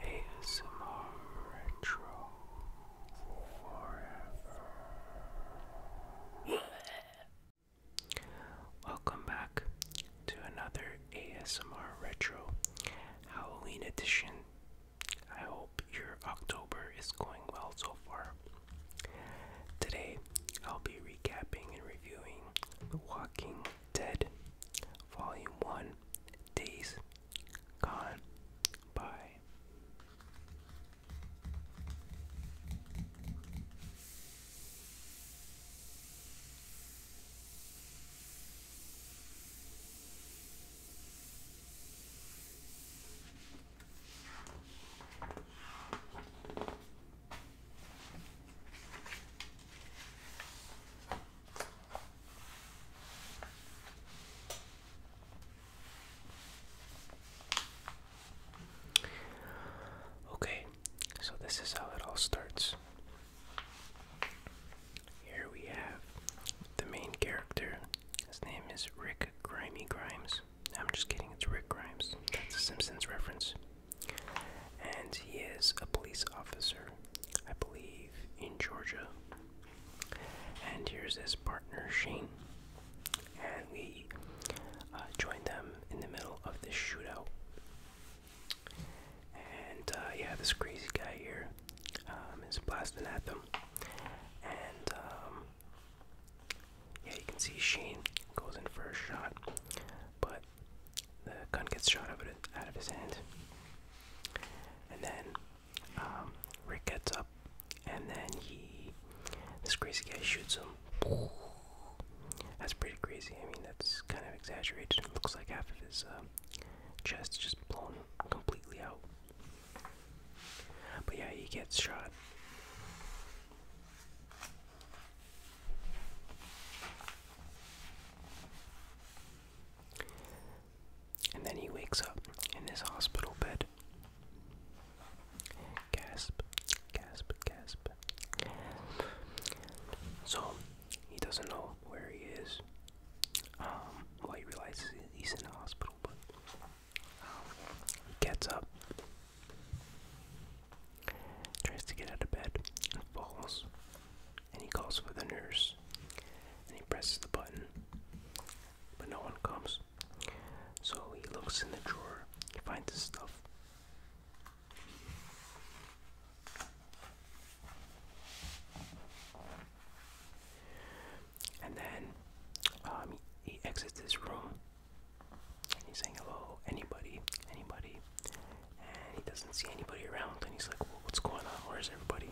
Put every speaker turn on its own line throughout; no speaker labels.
ASMR Retro Welcome back to another ASMR Retro Halloween edition. I hope your October is going well so far. Today, I'll be recapping and reviewing The Walking Dead, Volume 1, Days Gone By. Okay, so this is how it all starts. Here we have the main character. His name is Rick Grimy Grimes. I'm just kidding, it's Rick Grimes. That's a Simpsons reference. And he is a police officer I believe, in Georgia. And here's his partner Shane. And we uh, joined them in the middle of this shootout. And uh, yeah, this crazy guy here um, is blasting at them. And um, yeah, you can see Shane goes in for a shot, but the gun gets shot out of his hand. And then um, Rick gets up, and then he, this crazy guy shoots him. That's pretty crazy. I mean, that's kind of exaggerated. It looks like half of his um, chest just blown completely out. But yeah, he gets shot. And then he wakes up in his hospital bed. Gasp, gasp, gasp. So he doesn't know where he is. Um, he realizes he's in the hospital, but um, he gets up, tries to get out of bed, and falls and he calls for the nurse and he presses the button, but no one comes. So he looks in the drawer, he finds his stuff. And then um, he exits this room and he's saying hello, anybody, anybody and he doesn't see anybody around and he's like what's going on where's everybody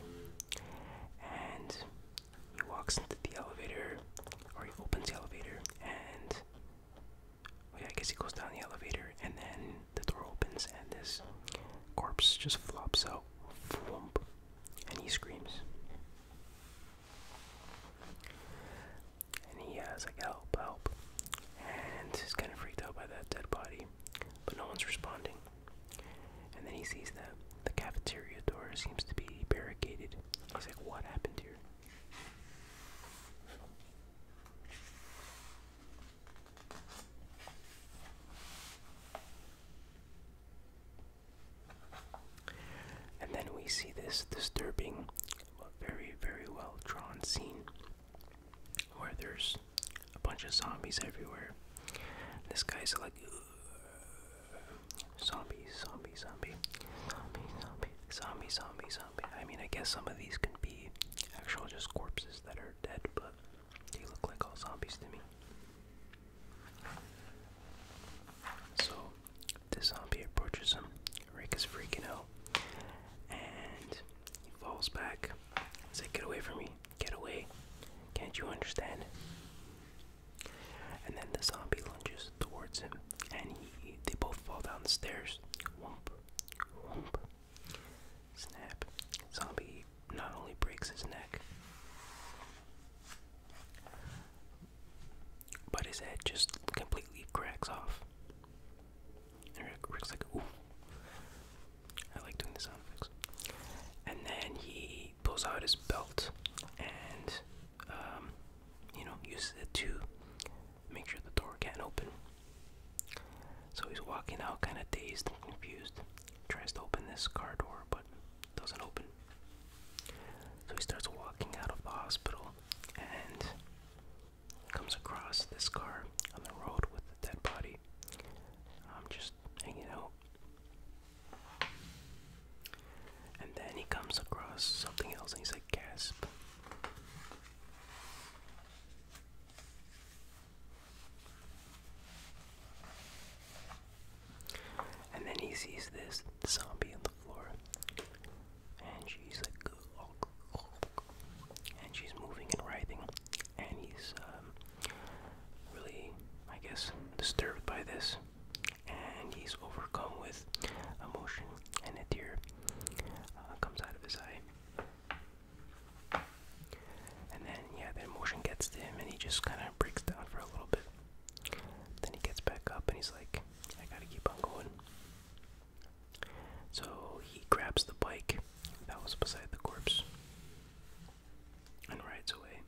and he walks into the elevator or he opens the elevator and oh yeah, I guess he goes down the elevator and then the door opens and this corpse just flops out and he screams and he has like help help and he's kind of freaked out by that dead body but no one's responding. And then he sees that the cafeteria door seems to be barricaded. I was like, what happened here? And then we see this disturbing, very, very well drawn scene where there's a bunch of zombies everywhere. This guy's like, zombie, zombie, zombie, zombie, zombie, zombie, zombie, zombie. I mean, I guess some of these can be actual just corpses that are dead, but they look like all zombies to me. So, the zombie approaches him. Rick is freaking out, and he falls back. It's like, get away from me. Get away. Can't you understand? And then the zombie lunges towards him, and he, they both fall down the stairs. Womp, womp. Snap. Zombie not only breaks his neck, but his head just completely cracks off. And Rick's like, ooh. I like doing the sound effects. And then he pulls out his belt and, um, you know, uses it to make sure the door can't open. So he's walking out kind of dazed and confused. Tries to open this car door, but doesn't open. So he starts walking out of the hospital and comes across this car on the road with the dead body I'm just hanging out. And then he comes across something else and he's like, gasp. And then he sees this zombie on the floor. And she's like, and she's moving and writhing and he's um, really, I guess, disturbed by this, and he's overcome with emotion, and a tear uh, comes out of his eye. And then, yeah, the emotion gets to him, and he just kind of breaks down for a little bit. Then he gets back up, and he's like, "I gotta keep on going." So he grabs the bike that was beside the corpse and rides away.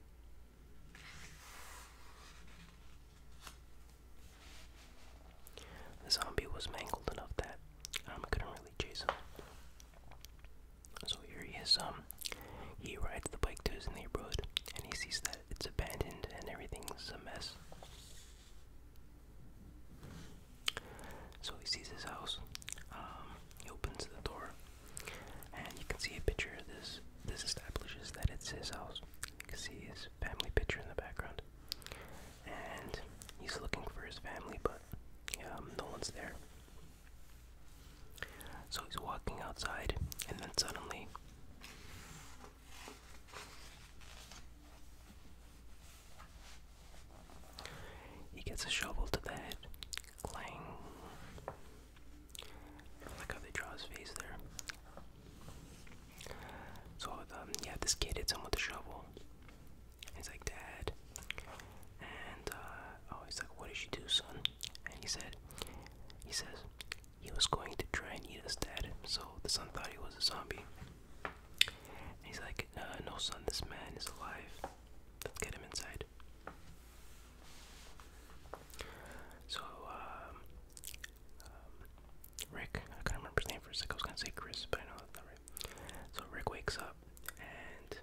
The zombie was mangled enough that I um, couldn't really chase him. So here he is. Um, he rides the bike to his neighborhood, and he sees that it's abandoned and everything's a mess. So he sees his house. Um, he opens the door, and you can see a picture of this. This establishes that it's his house. You can see his family picture in the background, and he's looking for his family, but um, no one's there. So he's walking outside, and then suddenly he gets a shovel to the head. Clang. I how they draw his face there. So, um, yeah, this kid hits him with a shovel. He's like, Dad. And, uh, oh, he's like, What did you do, son? And he said, He says, he was going to try and eat us, Dad. So the son thought he was a zombie. he's like, No, son, this man is alive. Let's get him inside. So, um, um, Rick, I couldn't remember his name for a sec. I was gonna say Chris, but I know that's not right. So, Rick wakes up and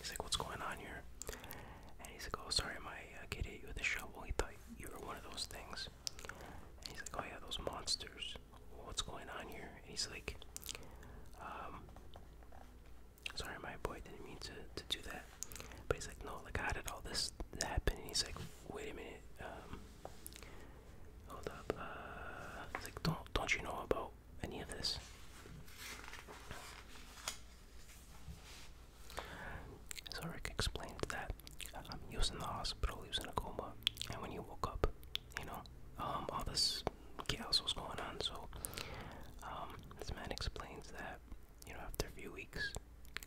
he's like, What's going on here? And he's like, Oh, sorry, my uh, kid hit you with a shovel. He thought you were one of those things. And he's like, Oh, yeah, those monsters what's going on here? And he's like, um, sorry, my boy didn't mean to, to do that. But he's like, no, like, how did all this happen? And he's like, wait a minute, um, hold up, uh, like, don't, don't you know about any of this? So Rick explained that I'm um, using the hospital, he was in a coma, and when he woke up, you know, um, all this chaos was going on. So, um, this man explains that, you know, after a few weeks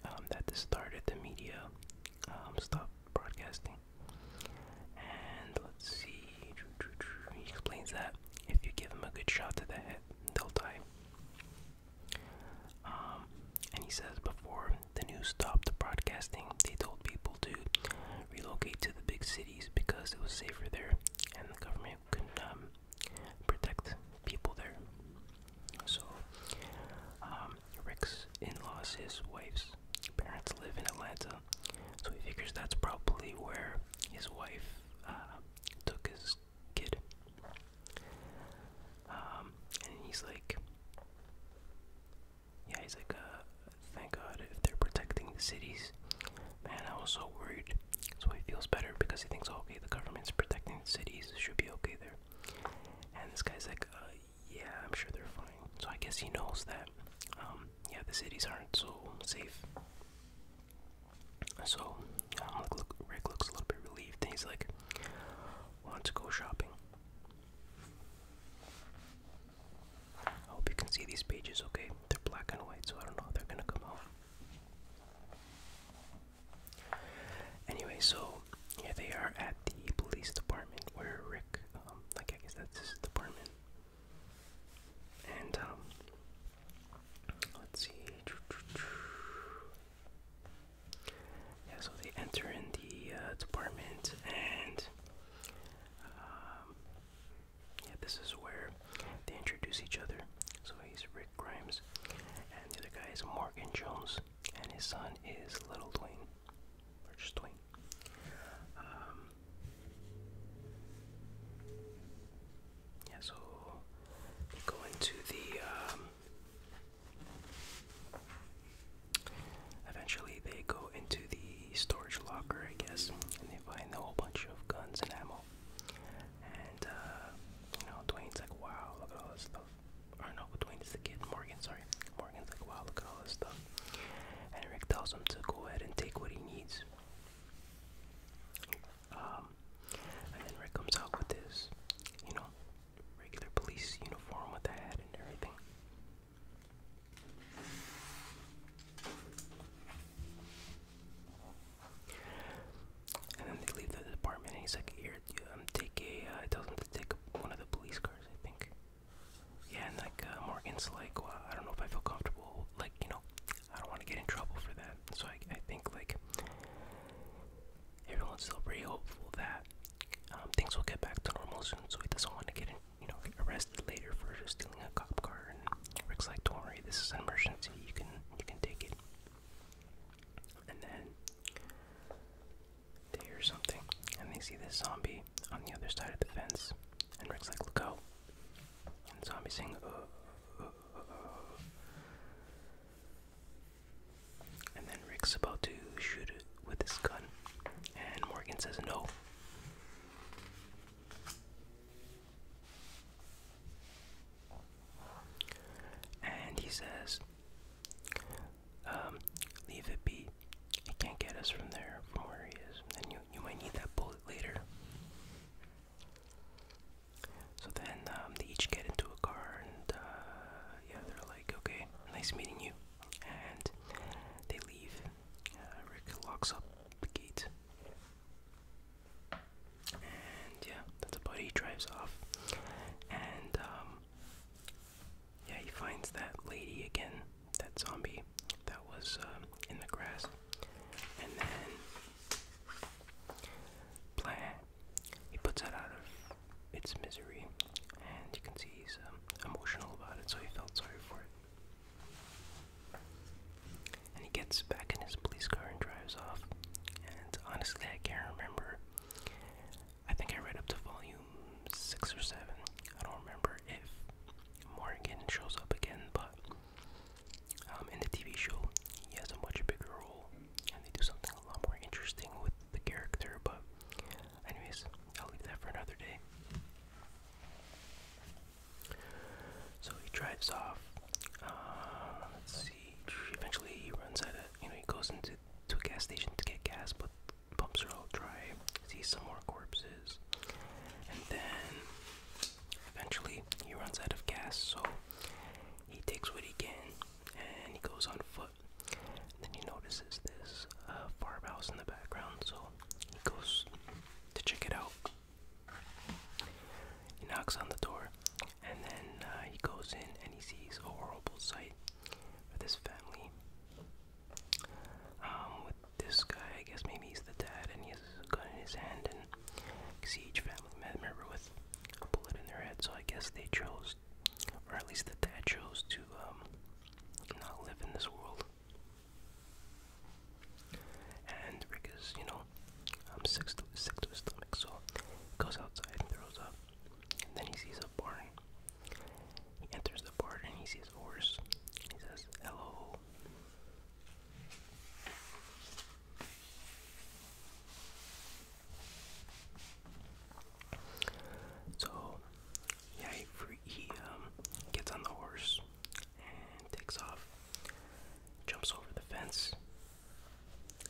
um, that this started, the media um, stopped broadcasting. And let's see, he explains that if you give him a good shot to the head, they'll die. Um, and he says before the news stopped broadcasting, they told people to relocate to the big cities because it was safer there, and the government could um, protect people there. So, um, Rick's in-laws, his wife's parents live in Atlanta, so he figures that's probably where his wife uh, took his kid. Um, and he's like, yeah, he's like, uh, Thank God if they're protecting the cities. Man, I was so worried. So he feels better because he thinks, oh, okay, the government's protecting the cities. Should be okay there. And this guy's like, uh, yeah, I'm sure they're fine. So I guess he knows that, um, yeah, the cities aren't so safe. So um, look, look, Rick looks a little bit relieved and he's like, want to go shopping. I hope you can see these pages okay. They're black and white, so I don't know if they're gonna come out. Anyway, so here they are at the police department where Rick, um, like I guess that's his department. And, um, let's see. Yeah, so they enter in the uh, department and. Um, yeah, this is where they introduce each other. So he's Rick Grimes, and the other guy is Morgan Jones, and his son is Little Dwayne, or just Dwayne. Um, yeah, so they go into the. Um, eventually, they go into the storage locker, I guess, and they find a whole bunch of guns and ammo. And, uh, you know, Dwayne's like, wow, look at all this stuff. Or no, Dwayne is the kid, Morgan, sorry. Morgan's like, wow, look at all this stuff. And Rick tells him to go ahead and take what he needs. Um, and then Rick comes out with his, you know, regular police uniform with a hat and everything. And then they leave the department, he's like, "Here, um, take a." Uh, tells to take one of the police cars, I think. Yeah, and like uh, Morgan's like, I don't know if I feel comfortable. Like, you know, I don't want to get in trouble for that. So I, think like everyone's still pretty hopeful that um, things will get back to normal soon. So he doesn't want to get in you know, get arrested later for stealing a cop car. And Rick's like, "Don't worry, this is an emergency. You can, you can take it." And then they hear something, and they see this zombie on the other side of the fence. And Rick's like, "Look out!" And the zombie's saying, uh, uh, uh, uh. uh. And then Rick's about to shoot with his gun, and Morgan says, "No." And he says, um, leave it be. He can't get us from there, from where he is. And you, you might need that bullet later. So then um, they each get into a car, and uh, yeah, they're like, okay, nice meeting you. And they leave. Uh, Rick locks up the gate and yeah, that's about it. He drives off. And um yeah, he finds that lady again, that zombie that was um, in the grass. And then plan he puts that out of its misery and you can see he's um, emotional about it, so he felt sorry for it. And he gets back in his police car and drives off. And honestly, I can't remember. I think I read up to volume 6 or 7. I don't remember if Morgan shows up again, but um, in the TV show, he has a much bigger role. And they do something a lot more interesting with the character, but, anyways, I'll leave that for another day. So he drives off. Uh, let's see. Eventually, he runs out of. You know, he goes into to a gas station to get gas, but pumps are all dry. Sees some more corpses, and then eventually he runs out of gas. So he takes what he can, and he goes on foot. then he notices this uh, farmhouse in the background, so he goes to check it out. He knocks on the door, and then uh, he goes in and he sees a horrible sight with his family. Um, with this guy, I guess maybe he's the dad, and he has a gun in his hand, and you each family member with a bullet in their head. So I guess they chose, or at least the dad chose, to um, not live in this world. And Rick is, you know, um, sick, to, sick to his stomach, so goes outside and throws up. And then he sees a barn. He enters the barn and he sees a horse. He says, Hello. So, yeah, he, he um, gets on the horse and takes off, jumps over the fence,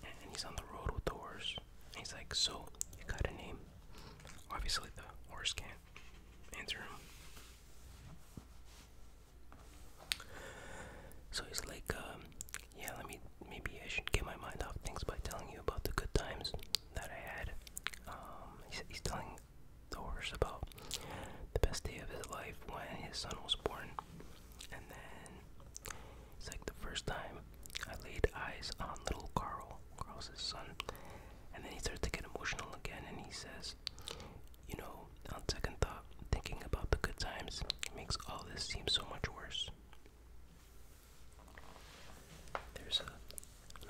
and he's on the road with the horse. he's like, So, you got a name? Obviously, the horse can't answer him. So he's like, um, Yeah, let me maybe I should get my mind off things by telling you about the good times that I had. Um, he's telling the horse about the best day of his life when his son was born. And then it's like the first time I laid eyes on little Carl, Carl's his son. And then he starts to get emotional again and he says, You know, on second thought, thinking about the good times makes all this seem so much worse. There's a,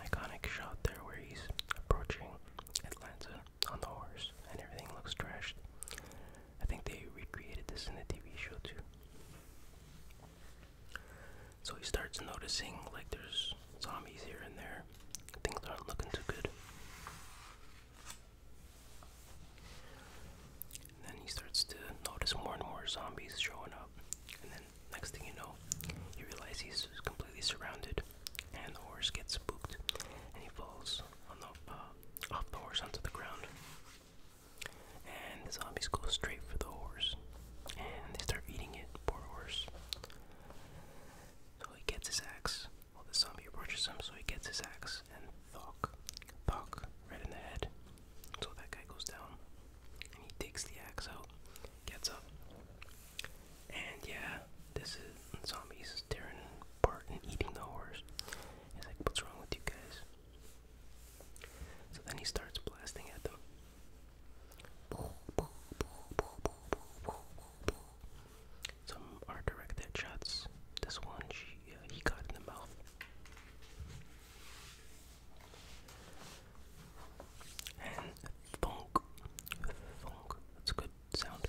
iconic shot there where he's approaching Atlanta on the horse, and everything looks trashed. I think they recreated this in the TV show too. So he starts noticing like there's zombies here and there. Things aren't looking too good. then he starts to notice more and more zombies showing up. And then next thing you know, he realizes he's completely surrounded and the horse gets spooked, and he falls on the, uh, off the horse onto the ground. And the zombies go straight for the horse, and they start eating it. Poor horse. So he gets his axe. While the zombie approaches him, so he gets his axe and thok, thok, right in the head. So that guy goes down, and he takes the axe out, gets up, and yeah, this is zombies tearing apart and eating the horse. He's like, what's wrong with you guys? So then he starts blasting at them. Some are direct shots. This one, she, uh, he got in the mouth. And thunk, thunk. That's good sound.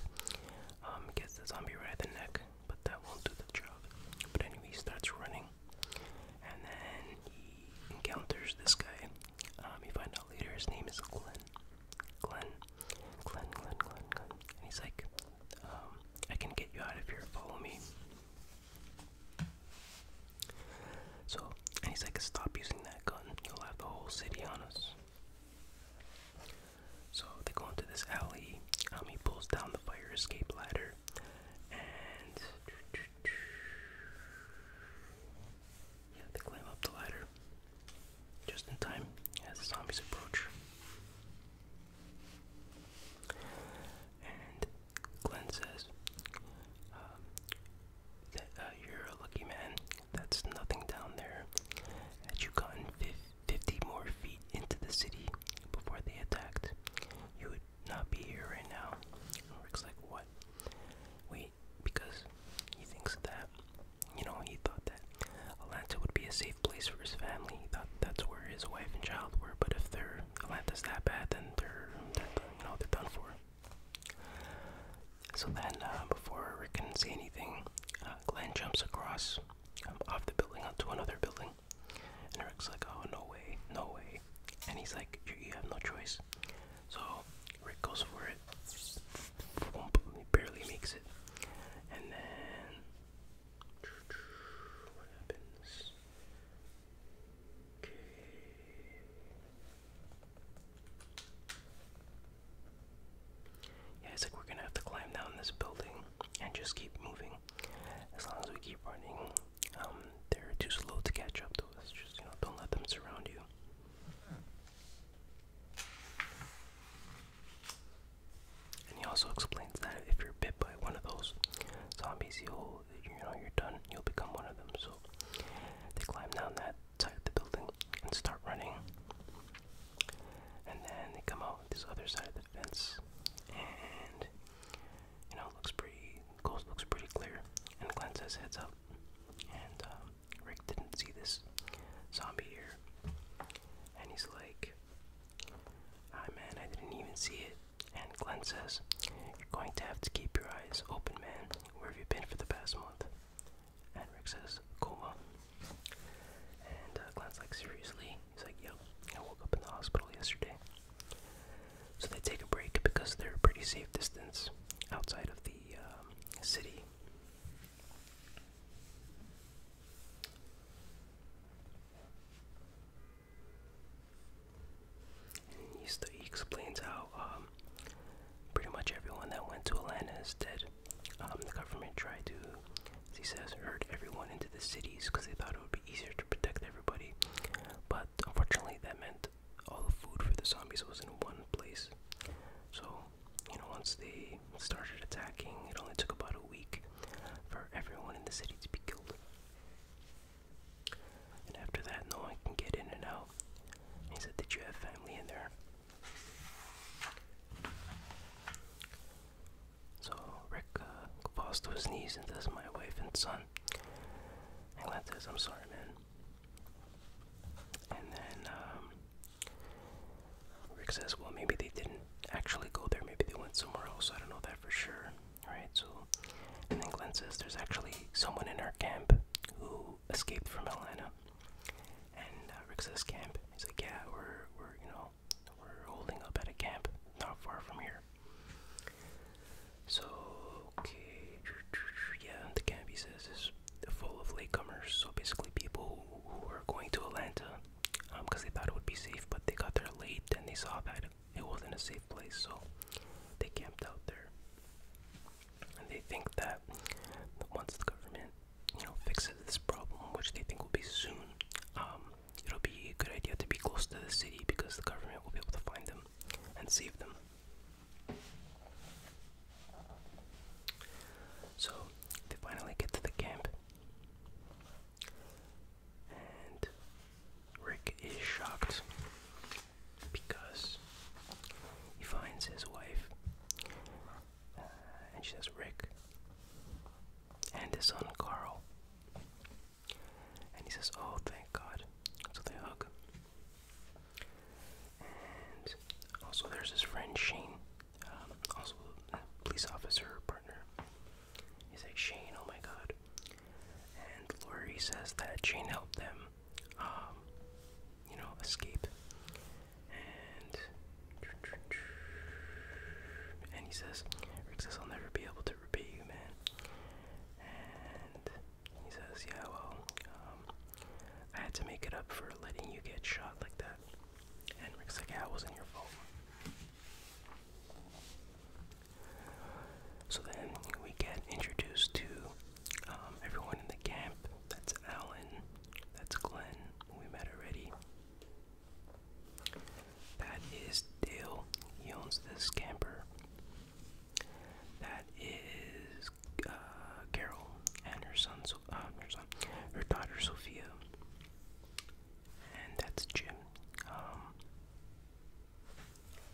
Um, gets the zombie right at the neck, but that won't do the job. But anyway, he starts running, and then he encounters this guy. Um, you find out later his name is Glenn. Glenn, Glenn, Glenn, Glenn, Glenn. And he's like, um, I can get you out of here, follow me. So, and he's like, stop using that gun. You'll have the whole city on us. So they go into this alley. Um, he pulls down the fire escape ladder, and they climb up the ladder just in time as the zombies approach. And Glenn says um, that uh, you're a lucky man that's nothing down there. Had you gotten fifty more feet into the city before they attacked, you would not be here right now. And Rick's like, what? Wait, because he thinks that, you know, he thought that Atlanta would be a safe place for his family. He thought that's where his wife and child were. But if they're Atlanta's that bad, then they're you know, they're done for. So then, uh, before Rick can say anything, uh, Glenn jumps across um, off the building onto another building. And Rick's like, oh, no way, no way. And he's like, you have no choice. So Rick goes for it. He barely makes it. And then. What happens? Okay. Yeah, it's like we're gonna have to climb down this building and just keep moving. As long as we keep running, um, they're too slow to catch up to us. Just you know, don't let them surround you. And he also explains that if you're bit by one of those zombies, you'll you know you're done. You'll become one of them. So they climb down that side of the building and start running. And then they come out this other side of the fence, and you know, looks pretty. Ghost looks pretty clear, and Glenn says heads up. And um, Rick didn't see this zombie here, and he's like, "Ah man, I didn't even see it." And Glenn says, "You're going to have to keep your eyes open, man. Where have you been for the past month?" And Rick says, coma. And uh, like, seriously? He's like, yep, I woke up in the hospital yesterday. So they take a break because they're a pretty safe distance outside of the um, city. And he, explains how um, pretty much everyone that went to Atlanta is dead. Um, the government tried to, he says, herd everyone into the cities because they thought it would be easier to protect everybody. But unfortunately, that meant all the food for the zombies was in one place. So, you know, once they started attacking, it only took about a week for everyone in the city to be killed. And after that, no one can get in and out. He said, Did you have family in there? So Rick uh, falls to his knees and says, "My wife and son." And says, "I'm sorry, man." And then um, Rick says, "Well, maybe they didn't actually go there. Maybe they went somewhere else. I don't know that for sure." All right. So, and then Glenn says, "There's actually someone in our camp who escaped from Atlanta." And uh, Rick says camp. He's like, yeah, we're we're you know we're holding up at a camp not far from here. So okay, yeah, the camp he says is full of latecomers. So basically, people who are going to Atlanta because um, they thought it would be safe, but they got there late and they saw that it wasn't a safe place, so they camped out there. And they think that once the government you know, fixes this problem, which they think will be soon, um, it'll be a good idea to be close to the city because the government will be able to find them and save them. So they finally get to the camp, and Rick is shocked because he finds his wife uh, and she says Rick. And his son Carl. And he says, Oh, thank God. So they hug. And also, there's his friend Shane, um, also a police officer partner. He's like, Shane, oh my God. And Lori says that Shane helped them, um, you know, escape. And he says, Rick says, I'll never be able to repay you, man. And he says, yeah, well, um, I had to make it up for letting you get shot like that. And Rick's like, yeah, it wasn't your fault. So then we get introduced to um, everyone in the camp. That's Alan, that's Glenn, we met already. That is Dale. He owns this camper. That is uh, Carol and her son, uh, her son, her daughter Sophia. And that's Jim. Um,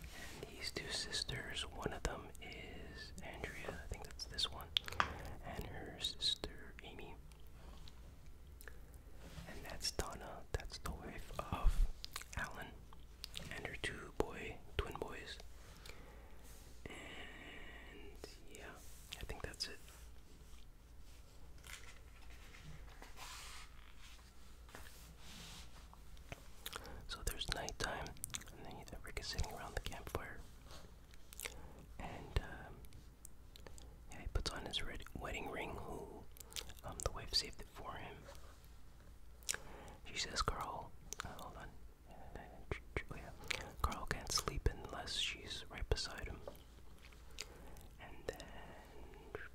and these two sisters, one of them is Andrea, I think that's this one, and her sister Amy. And that's Donna. That's the wife of Alan and her two boy twin boys. And yeah, I think that's it. So there's nighttime, and then Rick is sitting around the campfire, and um, he puts on his red wedding ring. Who, um, the wife saved it for him. She says, "Carl, uh, hold on. Oh, Carl can't sleep unless she's right beside him." And then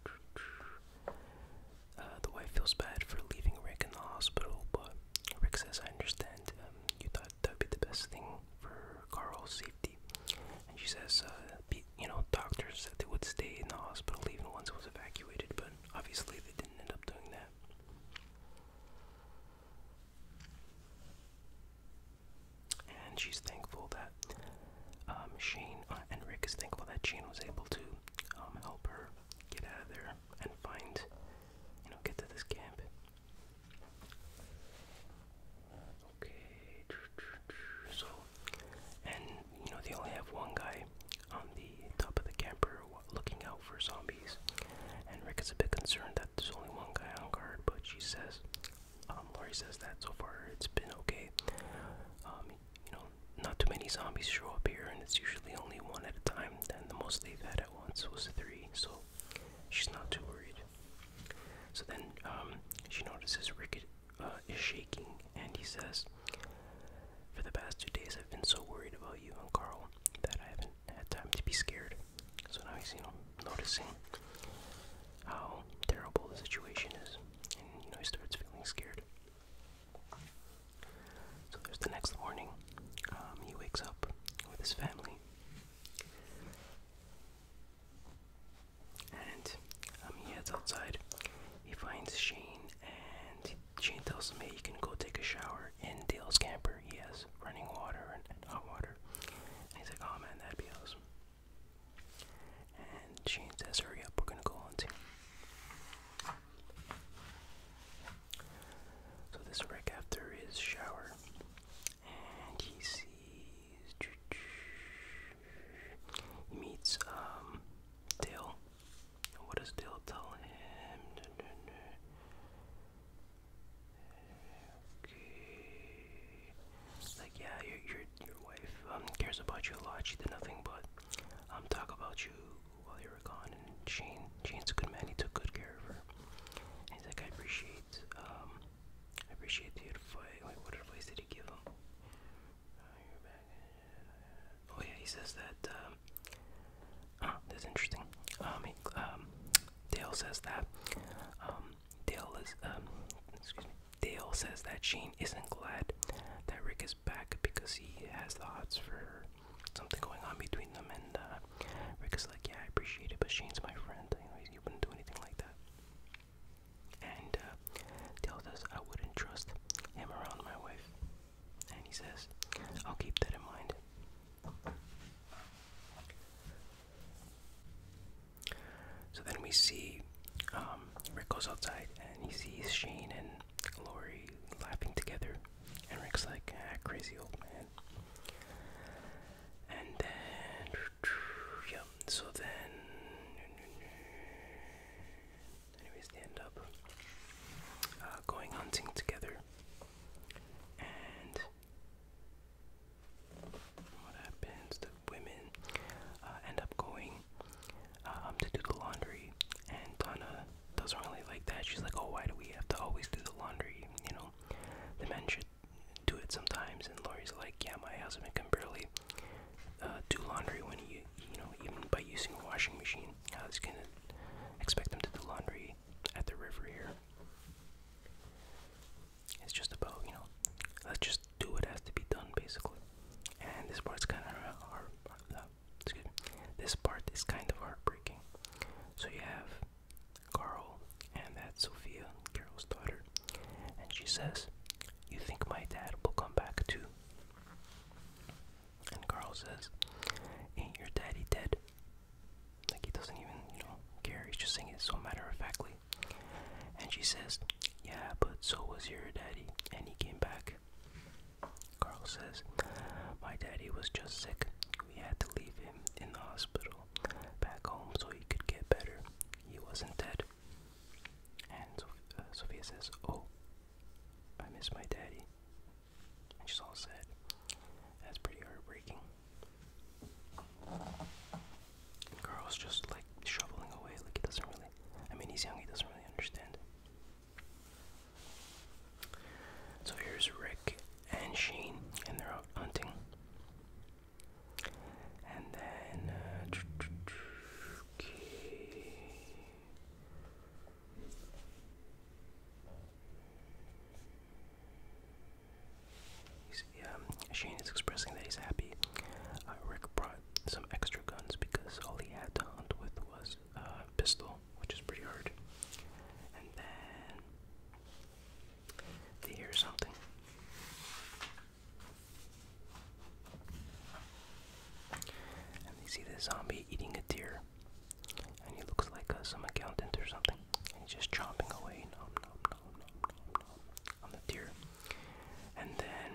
uh, the wife feels bad for leaving Rick in the hospital, but Rick says, "I understand. Um, you thought." that would be the best thing for Carl's safety. And she says, uh, you know, doctors said they would stay in the hospital even once it was evacuated, but obviously they didn't end up doing that. And she's thankful that um, Shane uh, and Rick is thankful that Shane was able to um, help her get out of there and find, you know, get to this camp. Okay, so, and you know, they only have one guy on the top of the camper looking out for zombies. And Rick is a bit concerned that there's only one guy on guard, but she says, um, Lori says that so far it's been okay. Um, you know, not too many zombies show up here, and it's usually only one at a time, and the most they've had at once was three, so She's not too worried. So then um, she notices Rick uh, is shaking, and he says, For the past two days, I've been so worried about you and Carl that I haven't had time to be scared. So now he's, you know, noticing how terrible the situation is, and, you know, he starts feeling scared. So there's the next morning. Um, he wakes up with his family. And um, he heads outside. He finds Shane, and Shane tells him, hey, you can go take a shower in Dale's camper. He has running water and, hot water. he's like, oh man, that'd be awesome. And Shane says, hurry up, we're gonna go hunting. So this is right after his shower, and he sees he's he meets um Dale. What does Dale tell him? Okay. It's like yeah, your your your wife um cares about you a lot. She did nothing but um talk about you while you were gone. And Shane, Shane's a good man. He took good care of her. And he's like, I appreciate appreciate um I appreciate the advice. what advice did he give him? Oh yeah, he says that. Um, oh, that's interesting. Um, he, um, Dale says that. Um, Dale is. Um, excuse me. Dale says that Shane isn't glad that Rick is back because he has the hots for something going on between them, and uh, Rick is like, yeah, I appreciate it, but Shane's my friend. You you wouldn't do anything like that. And uh, tells us I wouldn't trust him around my wife. And he says, I'll keep that in mind. So then we see um, Rick goes outside and he sees Shane and Lori laughing together. And Rick's like, ah, crazy old man that. And then, yep, so then, anyways, they end up uh, going hunting together. And what happens? The women uh, end up going uh, um, to do the laundry, and Donna doesn't really like that. She's like, "Oh, why do we have to always do the laundry?" You know, the men should do it sometimes. And Lori's like, yeah, my husband can barely uh, do laundry when he, you know, even by using a washing machine. I was gonna expect him to do laundry at the river here. It's just about, you know, let's just do what has to be done, basically. And this part's kind of hard. Uh, excuse me. This part is kind of heartbreaking. So you have Carl, and that's Sophia, Carl's daughter. And she says, You think my dad will come back too? And Carl says, Ain't your daddy dead? Like he doesn't even, you know, care. He's just saying it so matter of factly. And she says, Yeah, but so was your daddy, and he came back. Carl says, My daddy was just sick. We had to leave him in the hospital back home so he could get better. He wasn't dead. And uh, Sophia, says, Oh, I miss my daddy. And she's all sad. That's pretty heartbreaking. And Carl's just like shoveling away, like he doesn't really. I mean, he's young, he doesn't really understand. So here's Rick and Shane, and they're out hunting. And then, uh, okay. He's, um, Shane is expressing that he's happy. Uh, Rick brought some extra guns because all he had to hunt with was a pistol, which is pretty hard. And then they hear something. And they see this zombie eating a deer. And he looks like uh, some accountant or something. And he's just chomping away, nom nom nom nom nom nom, on the deer. And then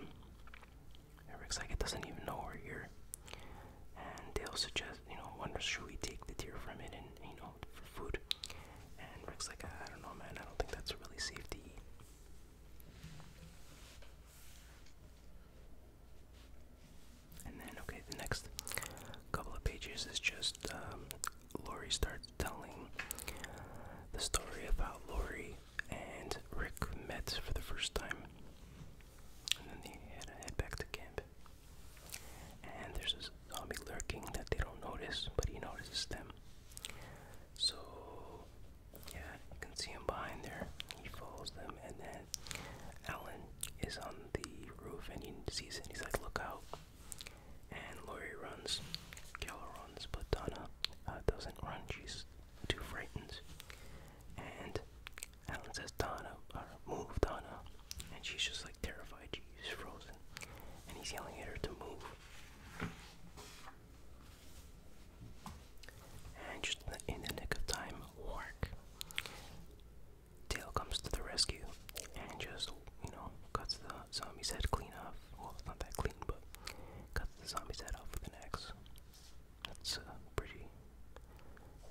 Eric's like, it doesn't even know we're here. And Dale suggests, you know, wonders should we take the deer from it and, you know, food. And Rick's like, I don't know, man. I don't think that's really safe to eat. And then, okay, the next couple of pages is just um, Lori starts telling the story about Lori and Rick met for the first time. And then they had to head back to camp. And there's zombie lurking that they don't notice, but he notices them. So, yeah, you can see him behind there. He follows them, and then Alan is on the roof and he sees it. he's like, "Look out!" And Laurie runs. Keller runs, but Donna uh, doesn't run. She's too frightened. And Alan says, "Donna, uh, move, Donna!" And she's just like terrified. She's frozen, and he's yelling at her to move. And just in the nick of time, Wark. Tail comes to the rescue and just, you know, cuts the zombie's head clean off. Well, it's not that clean, but cuts the zombie's head off with an axe. That's a pretty,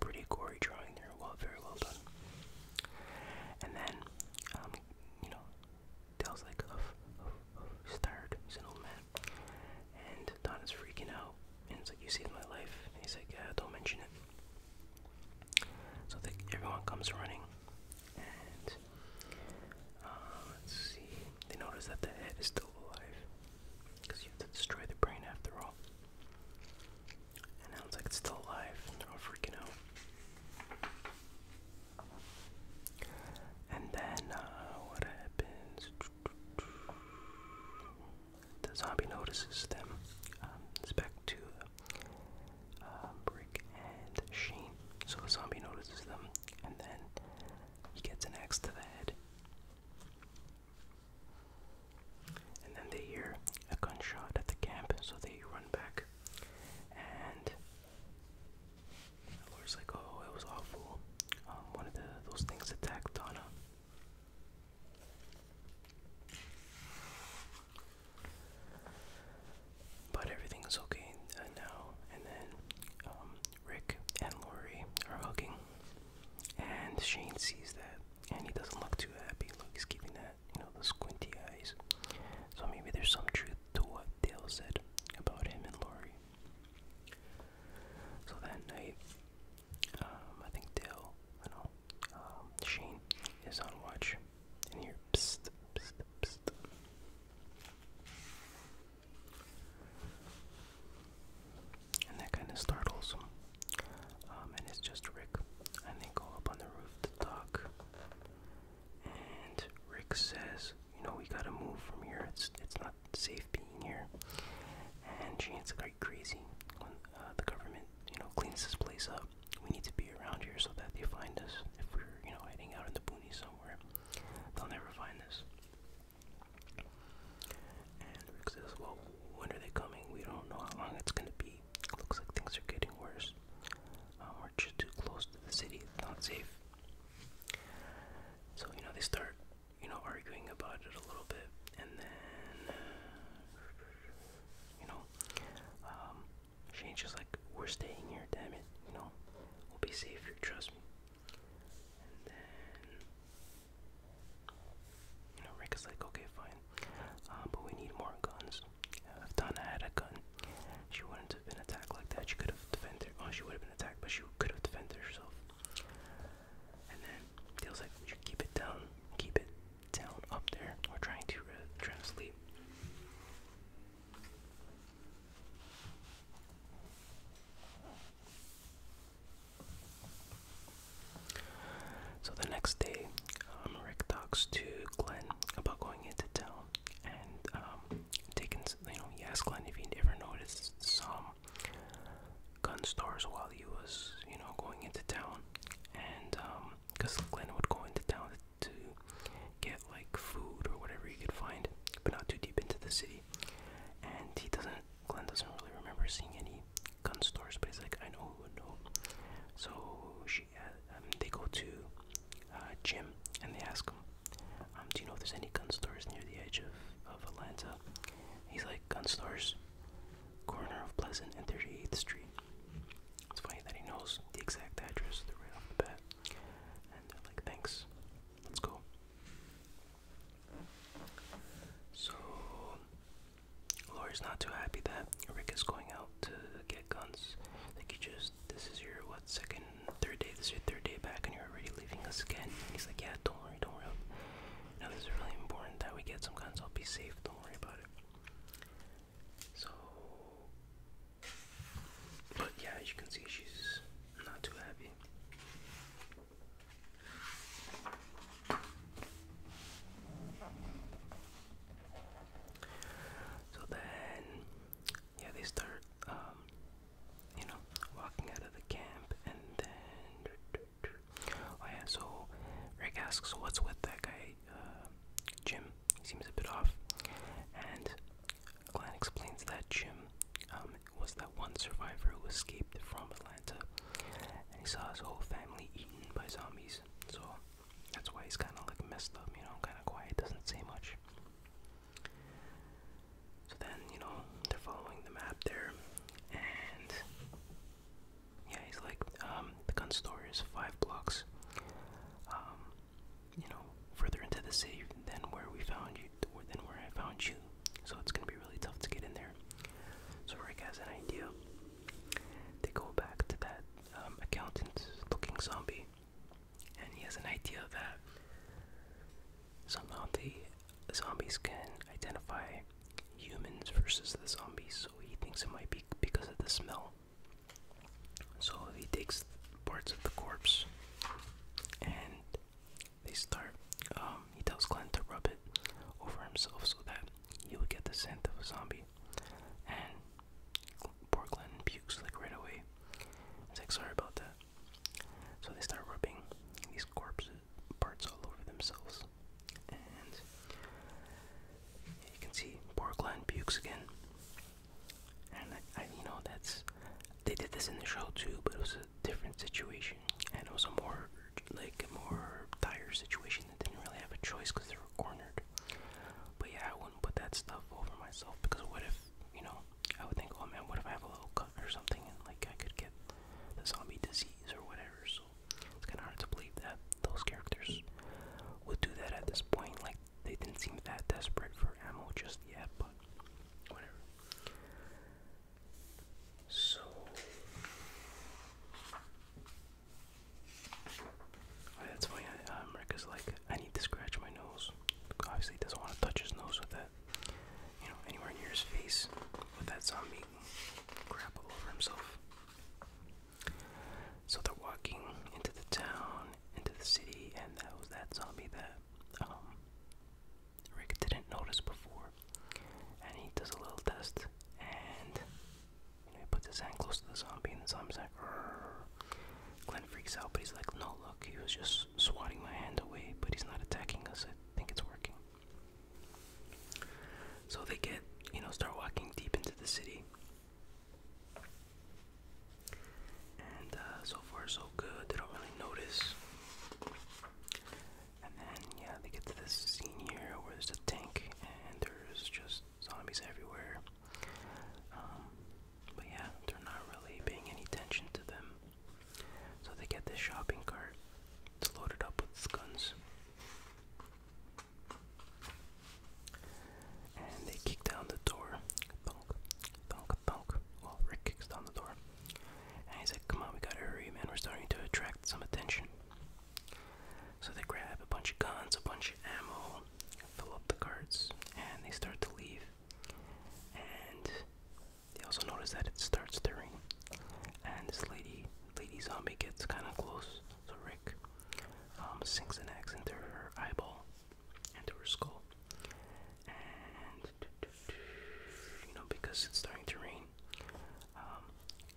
pretty gory drawing there. Well, very well done. And then, um, you know, Dale's like, oh, oh, he's an old man. And Don is freaking out, and it's like, you saved my life. And he's like, yeah, don't mention it. So they, everyone comes running, and uh, let's see, they notice that the head is still alive, because you have to destroy the brain after all. And now it's like it's still alive, they're all freaking out. And then uh, what happens? The zombie notices them. Um, it's back to Brick um, and Shane. So the zombie notices them, and then he gets an axe to the head. And then they hear a gunshot at the camp, so they run back. And the like, oh, it was awful. Um, one of those things attacked Donna. But everything okay uh, now. And then um, Rick and Lori are hugging. And Shane sees that. And he doesn't look too happy. Look, he's giving that, you know, the squinty eyes. So maybe there's some truth to what Dale said about him and Lori. So that night, um, I think Dale, I um, Shane is on watch, and here, And that kind of startles um, and it's just Rick, and they go up on the roof to talk. And Rick says, you know, we gotta move from here. It's it's not safe being here. And Jane's like crazy. When uh, the government, you know, cleans this place up, we need to be around here so that they find us. If we're, you know, hiding out in the boonies somewhere, they'll never find us. And Rick says, well, when are they coming? We don't know how long it's gonna be. Looks like things are getting worse. Um, we're just too close to the city. It's not safe. So you know they start, you know, arguing about it a little bit, and then, you know, um, Shane's just like, "We're staying here, damn it! You know, we'll be safe trust me." And then, you know, Rick is like, "Okay, fine, um, but we need more guns." if Donna had a gun, she wouldn't have been attacked like that. She could have defended. Well, oh, she would have been attacked, but she could have defended herself. And then Dale's like, "You keep it down, keep it down up there." We're trying to uh, trying to sleep. So the next day, um, Rick talks to Glenn about going into town and um, taking you know yes, Glenn, if you ever noticed some gun stores while he was you know going into town, and because um, Glenn would go into town to get like food or whatever he could find, but not too deep into the city, and he doesn't. Glenn doesn't really remember seeing any gun stores, but he's like, I know who would know. So she uh, um, they go to uh, Jim and they ask him, um, "Do you know if there's any gun stores near the edge of of Atlanta?" He's like, "Gun stores, corner of Pleasant and 38th Street." It's funny that he knows the exact address the right off the bat, and they're like, "Thanks, let's go." So Laura's not too happy that Rick is going out to get guns. Like he just this is your what second, third day, this is your third day back and you're already leaving us again. he's like, Yeah, don't worry, don't worry. Now this is really important that we get some guns, I'll be safe, don't worry about it. So But yeah, as you can see she's not too happy. So then yeah, they start, um, you know, walking out of the camp, and then. Oh yeah, so Rick asks, "What's with that guy, uh, Jim? He seems a bit off." And Glenn explains that Jim um, was that one survivor who escaped from Atlanta, and he saw his whole family eaten by zombies. So that's why he's kind of like messed up, you know, kind of quiet, doesn't say much. So then, you know, they're following the map there, and yeah, he's like, um, the gun store is five blocks, um, you know, further into the city than where we found you, than where I found you. So it's gonna be really tough to get in there. So Rick has an idea. They go back to that um, accountant-looking zombie, and he has an idea that somehow the zombies can identify humans versus the zombies, so he thinks it might be because of the smell. So he takes parts of the corpse and they start. Um, he tells Glenn to rub it over himself so that he would get the scent of a zombie. And Portland pukes like right away. It's like sorry about that. So they start rubbing these corpse parts all over themselves, and you can see Portland pukes again. And I, I, you know that's they did this in the show too, but it was a different situation, and it was a more like a more dire situation that didn't really have a choice because they were cornered. But yeah, I wouldn't put that stuff over myself because what if you know, I would think, oh man, what if I have a little cut or something and like I could get the zombie disease or whatever. So it's kind of hard to believe that those characters would do that at this point. Like they didn't seem that desperate for ammo just yet, but whatever. So oh, that's funny. Uh, um, America's like, I need to scratch my nose. Obviously, he doesn't want to touch his nose with that, you know, anywhere near his face with that zombie crap all over himself. So they're walking into the town, into the city, and that was that zombie that um, Rick didn't notice before. And he does a little test, and he puts his hand close to the zombie, and the zombie's like, Glenn freaks out, but he's like, no, look, he was just swatting my hand away, but he's not attacking us. I think it's working. So they get, you know, start walking deep into the city. And uh, so far, so good. They don't really notice. And then, yeah, they get to this scene here where there's a tank and there's just zombies everywhere. Um, but yeah, they're not really paying any attention to them. So they get this shopping cart. It's loaded up with guns. And they kick down the door. Thunk, thunk, thunk. Well, Rick kicks down the door. And he's like, come on, we gotta hurry, man. We're starting to attract some attention. So they grab a bunch of guns, a bunch of ammo, fill up the carts, and they start to leave. And they also notice that it starts stirring. And this lady, lady zombie, gets kind of close. So Rick um, sinks an axe into her eyeball, into her skull. And you know, because it's starting to rain, um,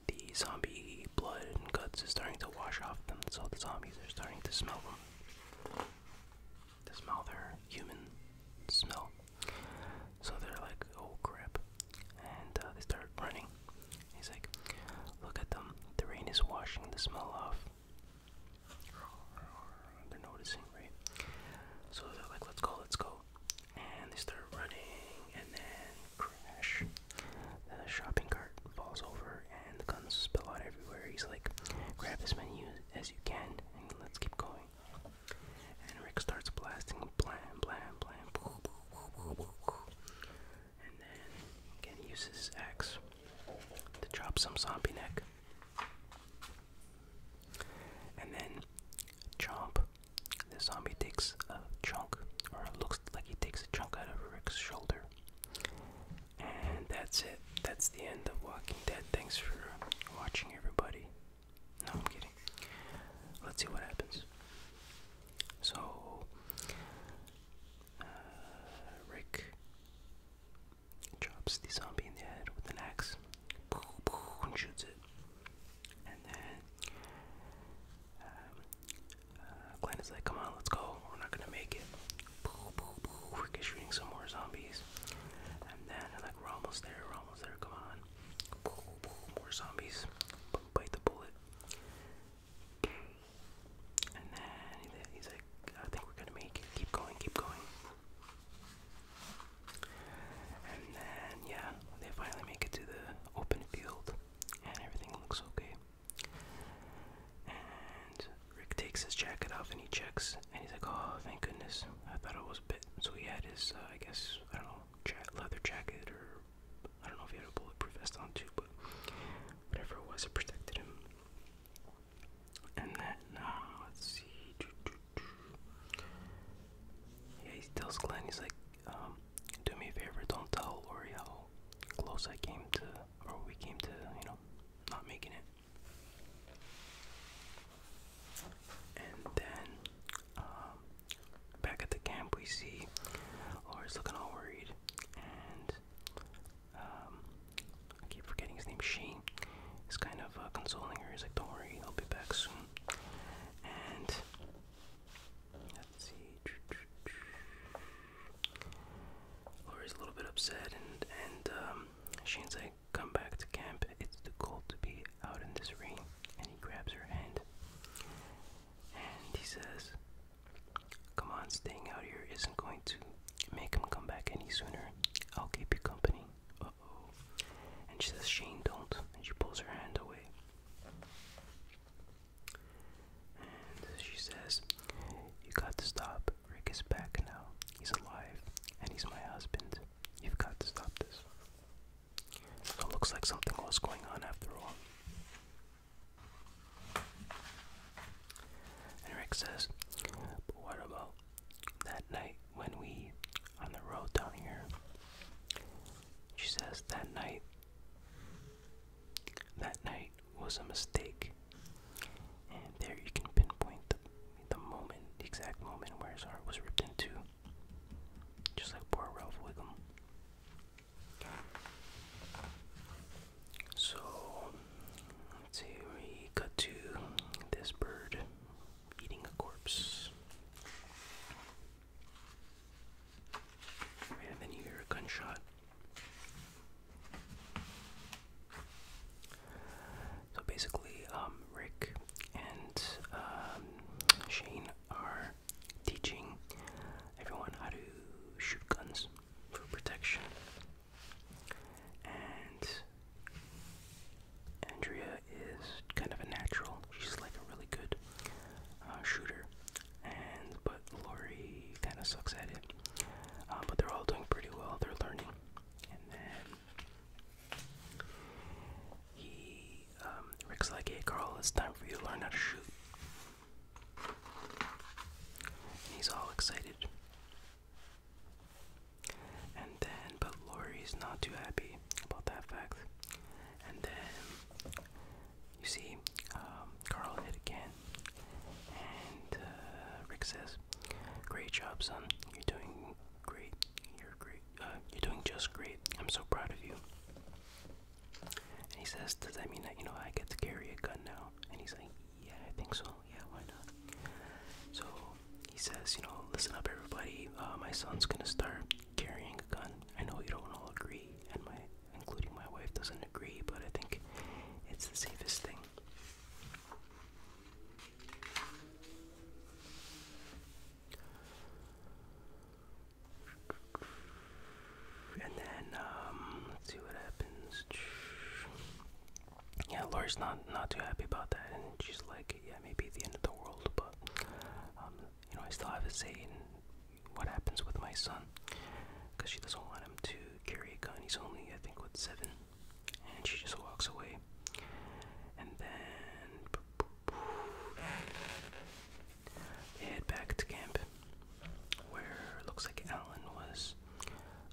the zombie blood and guts is starting to wash off them. So the zombies are starting to smell them. They smell their human smell. So they're like, oh crap. And uh, they start running. He's like, look at them. The rain is washing the smell off. They're noticing, right? So they're like, let's go, let's go. And they start running, and then crash. The shopping cart falls over, and the guns spill out everywhere. He's like, grab as many you can, and let's keep going. And Rick starts blasting, blam, blam, blam, and then again uses his axe to chop some zombie neck, and then chomp. The zombie takes a chunk, or looks like he takes a chunk out of Rick's shoulder, and that's it. That's the end of Walking Dead. Thanks for watching, everybody. No, I'm kidding. Let's see what happens. So, uh, Rick chops the zombie in the head with an axe and shoots it. And then um, uh, Glenn is like, come on, let's go. We're not going to make it. We're shooting some more zombies. And then, like, we're almost there. We're almost there. Come on. More zombies. Bite the bullet. And then he's like, I think we're gonna make it. Keep going, keep going. And then, yeah, they finally make it to the open field, and everything looks okay. And Rick takes his jacket off and he checks, and he's like, "Oh, thank goodness! I thought it was a bit." So he had his, uh, I guess, I don't know, leather jacket, or I don't know if he had a bulletproof vest on too, but whatever it was, it protected him. And then, uh, let's see. Yeah, he tells Glenn, he's like, um, "Do me a favor, don't tell Lori how close I came to, or we came to, you know, not making it." And then um, back at the camp, we see Laurie's looking all worried, and um, I keep forgetting his name. Shane is kind of uh, consoling her. He's like, "Don't worry, I'll be back soon." And let's see, Laurie's a little bit upset, and and um, Shane's like, come back to camp. It's the goal to be out in this rain. And he grabs her hand. And he says, come on, staying out here isn't going to make him come back any sooner. I'll keep you company. Uh-oh. And she says, Shane, don't. And she pulls her hand away. And she says, You got to stop Rick is back now. He's alive, and he's my husband. You've got to stop this. it looks like something was going on after all. And Rick says, what about that night when we on the road down here? She says, That night. That night was a mistake. And there you can pinpoint the, moment, the exact moment where his heart was ripped into, Just like poor Ralph Wiggum. So, let's see, we cut to this bird eating a corpse. and then you hear a gunshot. So basically, um, Rick and um, Shane are teaching everyone how to shoot guns for protection. And Andrea is kind of a natural. She's like a really good uh, shooter, and but Lori kind of sucks at it. Uh, but they're all doing pretty well. They're learning and then he, um, Rick's like, hey, Carl, it's time for you to learn how to shoot. he's all excited. And then, but Lori's not too happy about that fact. And then, you see, um, Carl hit again. And uh, Rick says, Great job, son. You're doing great. You're great. Uh, you're doing just great. I'm so proud of you. And he says, Does that mean that, you know, I get to carry a gun now? And he's like, Yeah, I think so. Yeah, why not? So he says, You know, listen up, everybody. Uh, my son's gonna start carrying a gun. I know you don't all agree, and my, including my wife, doesn't agree, but I think it's the safest thing. And then um, let's see what happens. Yeah, Laura's not not too happy about that, and she's like, "Yeah, maybe the end of the world, but um, you know, I still have a say in what happens with my son, because she doesn't want him to carry a gun. He's only, I think, what seven and she just walks away. And then head back to camp, where it looks like Alan was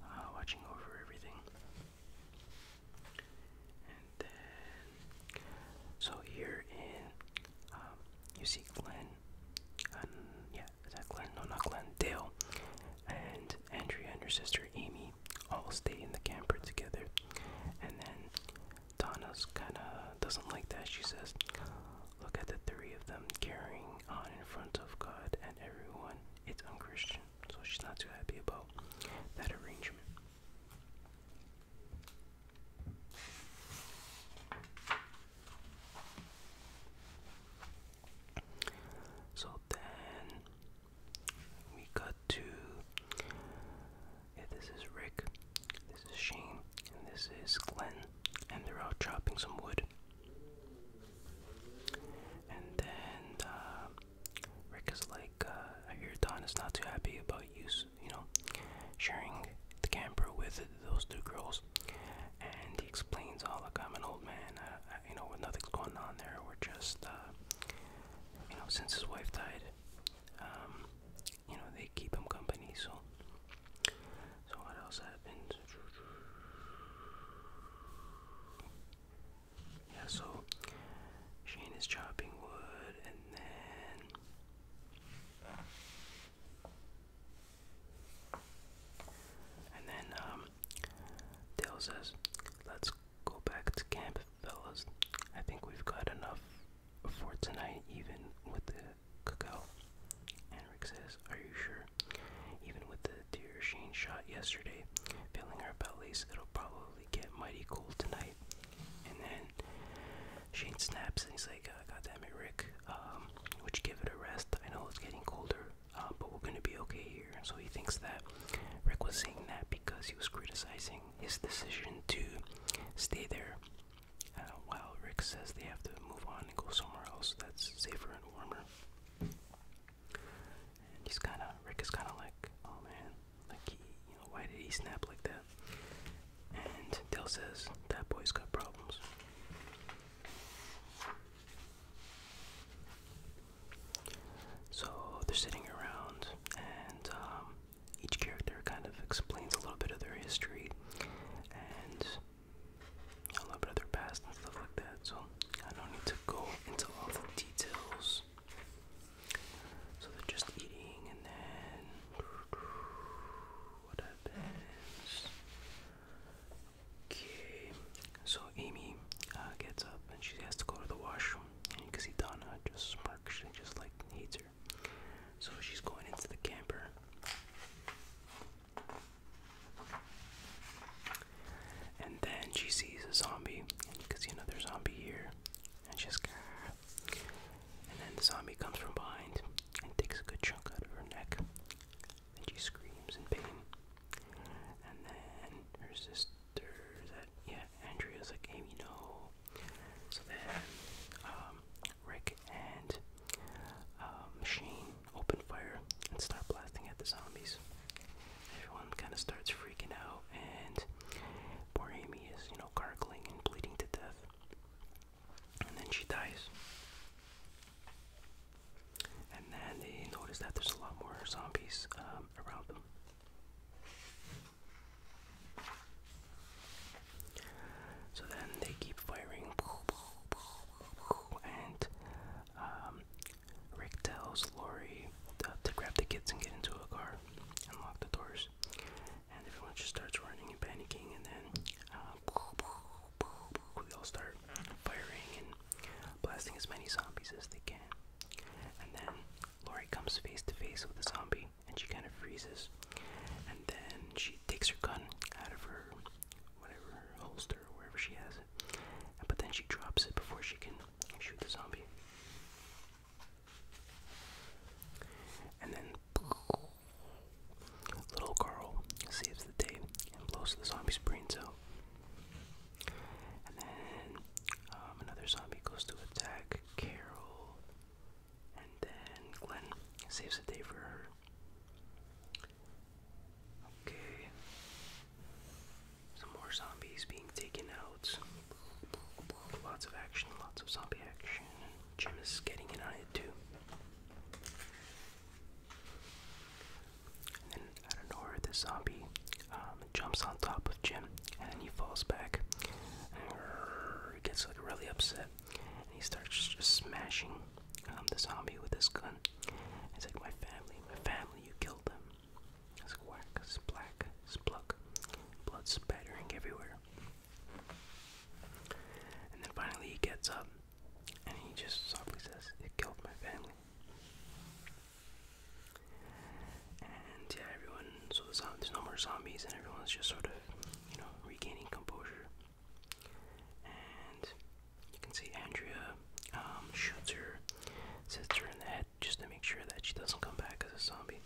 uh, watching over everything. And then, so here in, um, you see Glenn, yeah, is Glenn? No, not Glenn, Dale, and Andrea and her sister Amy all stay in the camper together. And then Donna's kind of doesn't like that. She says, Look at the three of them carrying on in front of God and everyone. It's unchristian. So she's not too happy about that arrangement. So then we cut to this is Rick, this is Shane, and this is Glenn, and they're out chopping some wood. And then uh, Rick is like, uh, I hear Don is not too happy about you, you know, sharing the camper with those two girls. And he explains, all oh, look, I'm an old man you know, when nothing's going on there, we're just, uh, you know, since his wife died, um, you know, they keep him company, so. So, what else happened? Yeah, so Shane is chopping wood, and then. And then, um, Dale says, Let's go back to camp, fellas. I think we've got enough for tonight, even with the cacao. And Rick says, Are you sure? Even with the deer Shane shot yesterday, filling our bellies, it'll probably get mighty cold tonight. And then Shane snaps and he's like, ah, God damn it, Rick. Um, would you give it a rest? I know it's getting colder. Uh, but we're gonna be okay here. So he thinks that Rick was saying that because he was criticizing his decision to stay there, uh, while Rick says they have to move on and go somewhere else that's safer and warmer. And he's kind of Rick is kind of like, oh man, like he, why did he snap like that? And Dale says that boy's got problems. So they're sitting around, and um, each character kind of explains a little bit of their history and a little bit of their past and stuff like that. So I don't need to go into all the details. So they're just eating, and then what happens? Okay, so Amy uh, gets up and she has to go to the washroom, and you can see Donna just smirks. She just like hates her. So she's going into the camper. And then she sees a zombie, and you can see another zombie here, and she's And then the zombie comes from behind and takes a good chunk out of her neck, and she screams in pain. And then her sister, yeah, Andrea's like, Amy, no. So then um, Rick and um, Shane open fire and start blasting at the zombies. Everyone kind of starts freaking out, and poor Amy is, you know, gargling and bleeding to death. And then she dies. And then they notice that there's a lot more zombies um, around them. So then they keep firing, and um, Rick tells Lori uh, to, grab the kids and get into a car and lock the doors. And everyone just starts running and panicking, and then uh, we they all start firing blasting as many zombies as they can. And then Lori comes face to face with a zombie and she kind of freezes. And then she takes her gun out of her whatever her holster or wherever she has it. But then she drops it before she can shoot the zombie. And then little girl saves the day and blows the zombie's brains out. And then um, another zombie goes to attack Carol. And then Glenn saves the day for her. Okay. Some more zombies being taken out. Lots of action, lots of zombie action. Jim is getting in on it too. And then out of nowhere, the zombie um, jumps on top of Jim, and then he falls back. And gets like really upset, and he starts just smashing um, the zombie with his gun. It's like my family, my family, you killed them. It's like whack, splack, spluck, blood spattering everywhere. And then finally he gets up, and he just softly says, "It killed my family." And yeah, everyone. So the there's no more zombies, and everyone's just sort of, you know, regaining composure. And you can see Andrea um, shoots her, sits her in the head just to make sure that she doesn't come back as a zombie.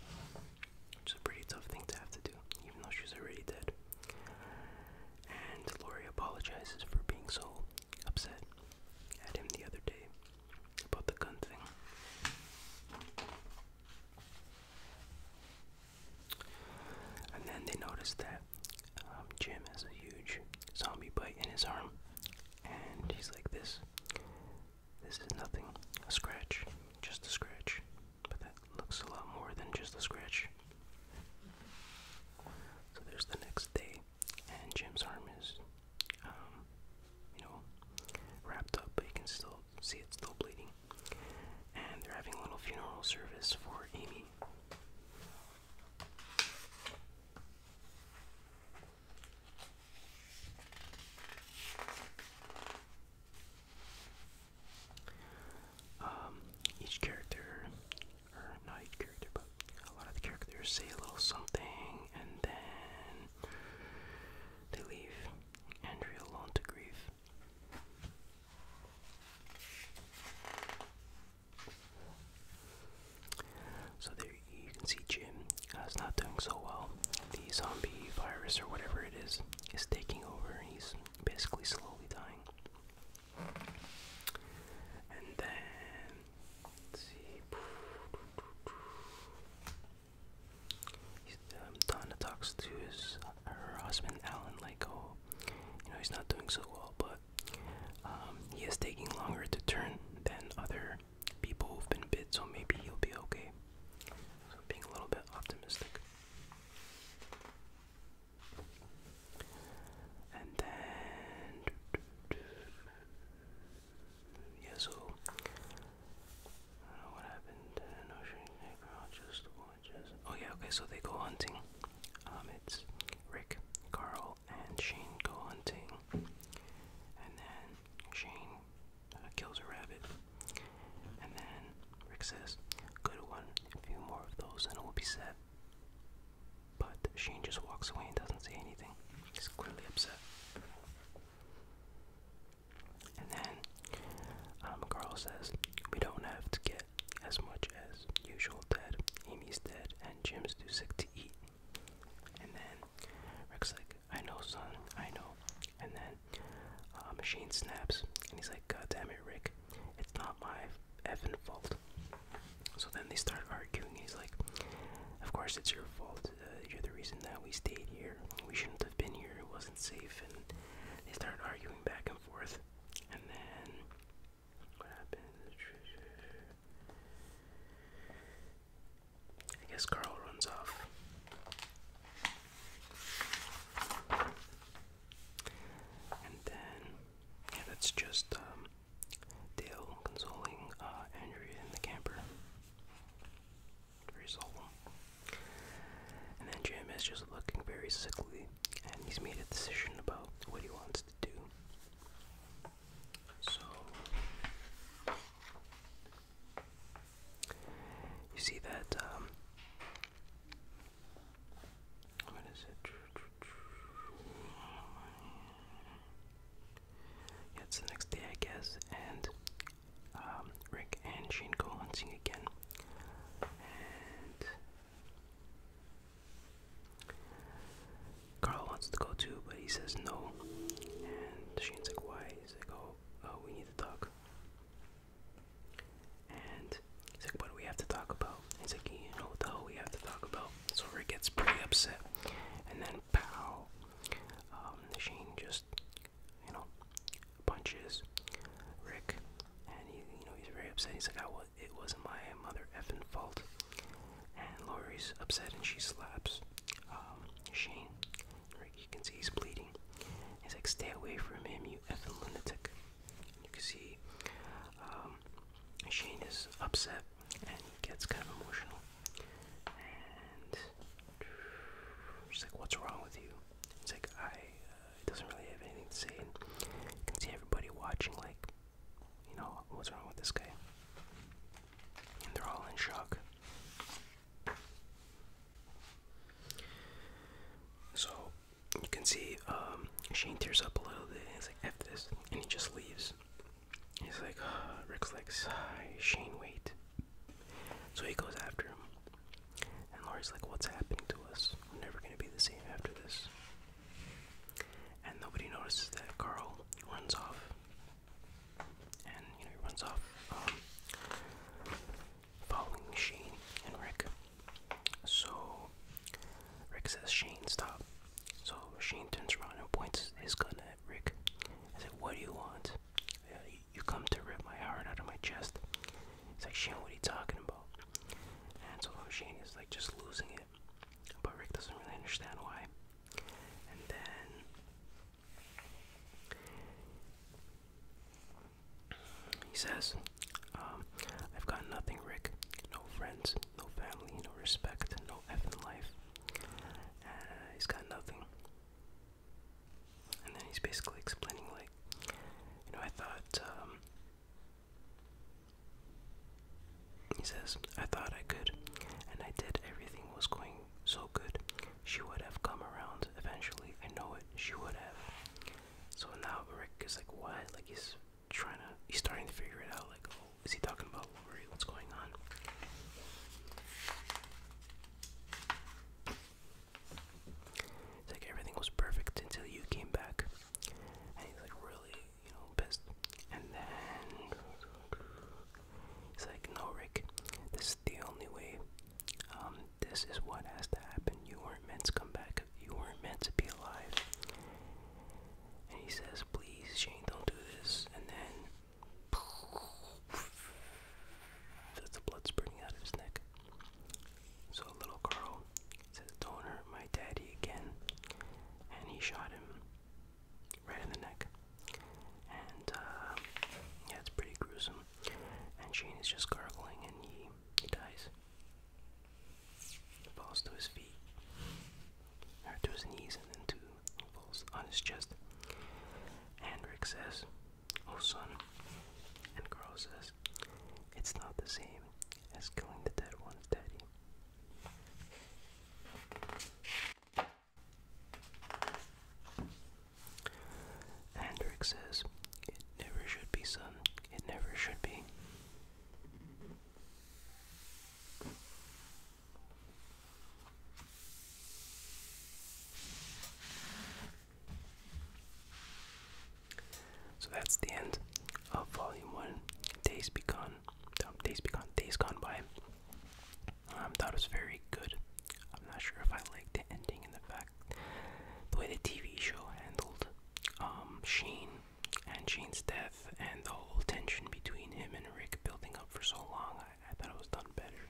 Which is a pretty tough thing to have to do, even though she's already dead. And Lori apologizes for being so upset at him the other day about the gun thing. And then they noticed that um, Jim has a huge zombie bite in his arm, and he's like, "This, this is nothing, a scratch, just a scratch." But that looks a lot more than just a scratch. So there's the next day, and Jim's arm is, um, you know, wrapped up, but you can still see it's still bleeding. And they're having a little funeral service for Amy. Um, each character, or not character, a lot of the characters say a little something and then they leave Andrea alone to grieve. So there you can see Jim uh, is not doing so well. The zombie virus or whatever it is is taking over he's basically slowly dying. And then see. He's, um, Donna talks to his uh, husband Alan like, oh, you know, he's not doing so well, but um, he is taking longer to turn than other people who've been bit, so maybe he'll be okay. being a little bit optimistic. And then yeah, so what happened. Oh yeah, okay. So they go hunting. Um, it's Rick, Carl, and Shane go hunting, and then Shane uh, kills a rabbit, and then Rick says, "Good one. A few more of those, and it will be set." But Shane just walks away and doesn't say anything. He's clearly upset. And then um, Carl says, We don't have to get as much as usual dead. Amy's dead, and Jim's too sick to eat. And then Rick's like, I know, son, I know. And then uh, Machine snaps, and he's like, God damn it, Rick, it's not my effing fault. So then they start arguing, and he's like, Of course it's your fault. Uh, you're the reason that we stayed here. We shouldn't have been here. It wasn't safe." And they started arguing back and forth. And then what happened? I guess Carl runs off. And then, yeah, it's just um, Dale consoling uh, Andrea in the camper. Very solemn. And then Jim is just looking very sickly, and he's made a decision about what he wants to do. So, you see that, um, what is it? yeah, it's the next day, I guess, and um, Rick and Shane go hunting again. And Carl wants to go too, but he says no. And Shane's like, why? He's like, oh, oh we need to talk. And he's like, what do we have to talk about? he's like, you know what the hell we have to talk about. So he gets pretty upset. And then, pow, um, Shane just, you know, punches Rick, and he, you know, he's very upset. He's like, I ah, was, it wasn't my mother effing fault. And Lori's upset, and she slaps um, Shane. you can see he's bleeding. He's like, stay away from him, you effing lunatic. You can see um, Shane is upset and he gets kind of emotional. And he's like, "What's wrong with you?" He's like I. Uh, doesn't really have anything to say. And you can see everybody watching, like, you know, what's wrong with this guy? And they're all in shock. So you can see um, Shane tears up a little bit. And he's like, "F this," and he just leaves. He's like, Rick's like, Shane, wait. So he goes after him. And Laurie's like, what's happening to us? We're never going to be the same after this. And nobody notices that Carl runs off. And, you know, he runs off um, following Shane and Rick. So Rick says, Shane, stop. So Shane turns around and points his gun Rick. I said, What do you want? you come to rip my heart out of my chest. It's like, Shane, what are you talking about? And so Shane is like just losing it. But Rick doesn't really understand why. And then he says, um, I've got nothing, Rick. No friends, no family, no respect, no F in life. Uh, he's got nothing. And then he's basically explaining, like, you know, I thought, um, he says, I thought I could, and I did. Everything was going so good. She would have come around eventually. I know it. She would have. So now Rick is like, what? Like, he's trying to, he's starting to figure it out, like, is he talking about Lori? What's going on? It's like everything was perfect until you came back. And he's like really, you know, pissed. And then he's like, no, Rick, this is the only way. Um, this is what has to happen. You weren't meant to come back. You weren't meant to be alive. And he says, please, Shane, don't do this. And then that's the blood spurting out of his neck. So little Carl says, Don't hurt my daddy again. And he shot him right in the neck. And, uh, yeah, it's pretty gruesome. And Shane is just gargling and he, he dies. He falls to his feet, to his knees, and then to falls on his chest. And says, Oh, son. And Carl says, It's not the same as killing the dead one's daddy. And says, It never should be, son. It never should be. So that's the end of Volume One. Days be gone, um, Days be gone, Days Gone By. Um, that was very good. I'm not sure if I like the ending and the fact the way the TV show handled um, and Sheen's death and the whole tension between him and Rick building up for so long. I thought it was done better.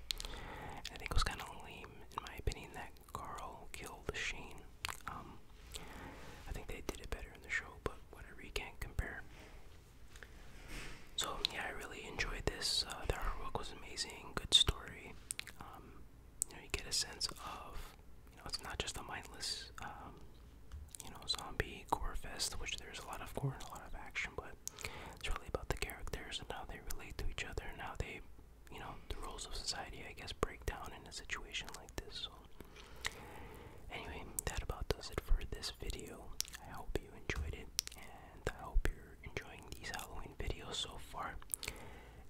I think it was kind of lame, in my opinion, that Carl killed Shane. Um, I think they did it better in the show, but I you can't compare. So yeah, I really enjoyed this. Uh, the artwork was amazing. Good story. Um, you know, you get a sense of you know it's not just a mindless um, you know zombie gore fest, which there's a lot of gore and a lot of action, but it's really about the characters and how they relate to each other and how they, you know, the rules of society, I guess, break down in a situation like this. So, anyway, that about does it for this video. I hope you enjoyed it, and I hope you're enjoying these Halloween videos so far.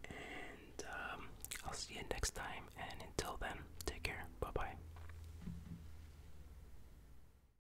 And um, I'll see you next time, and until then, take care. Bye bye.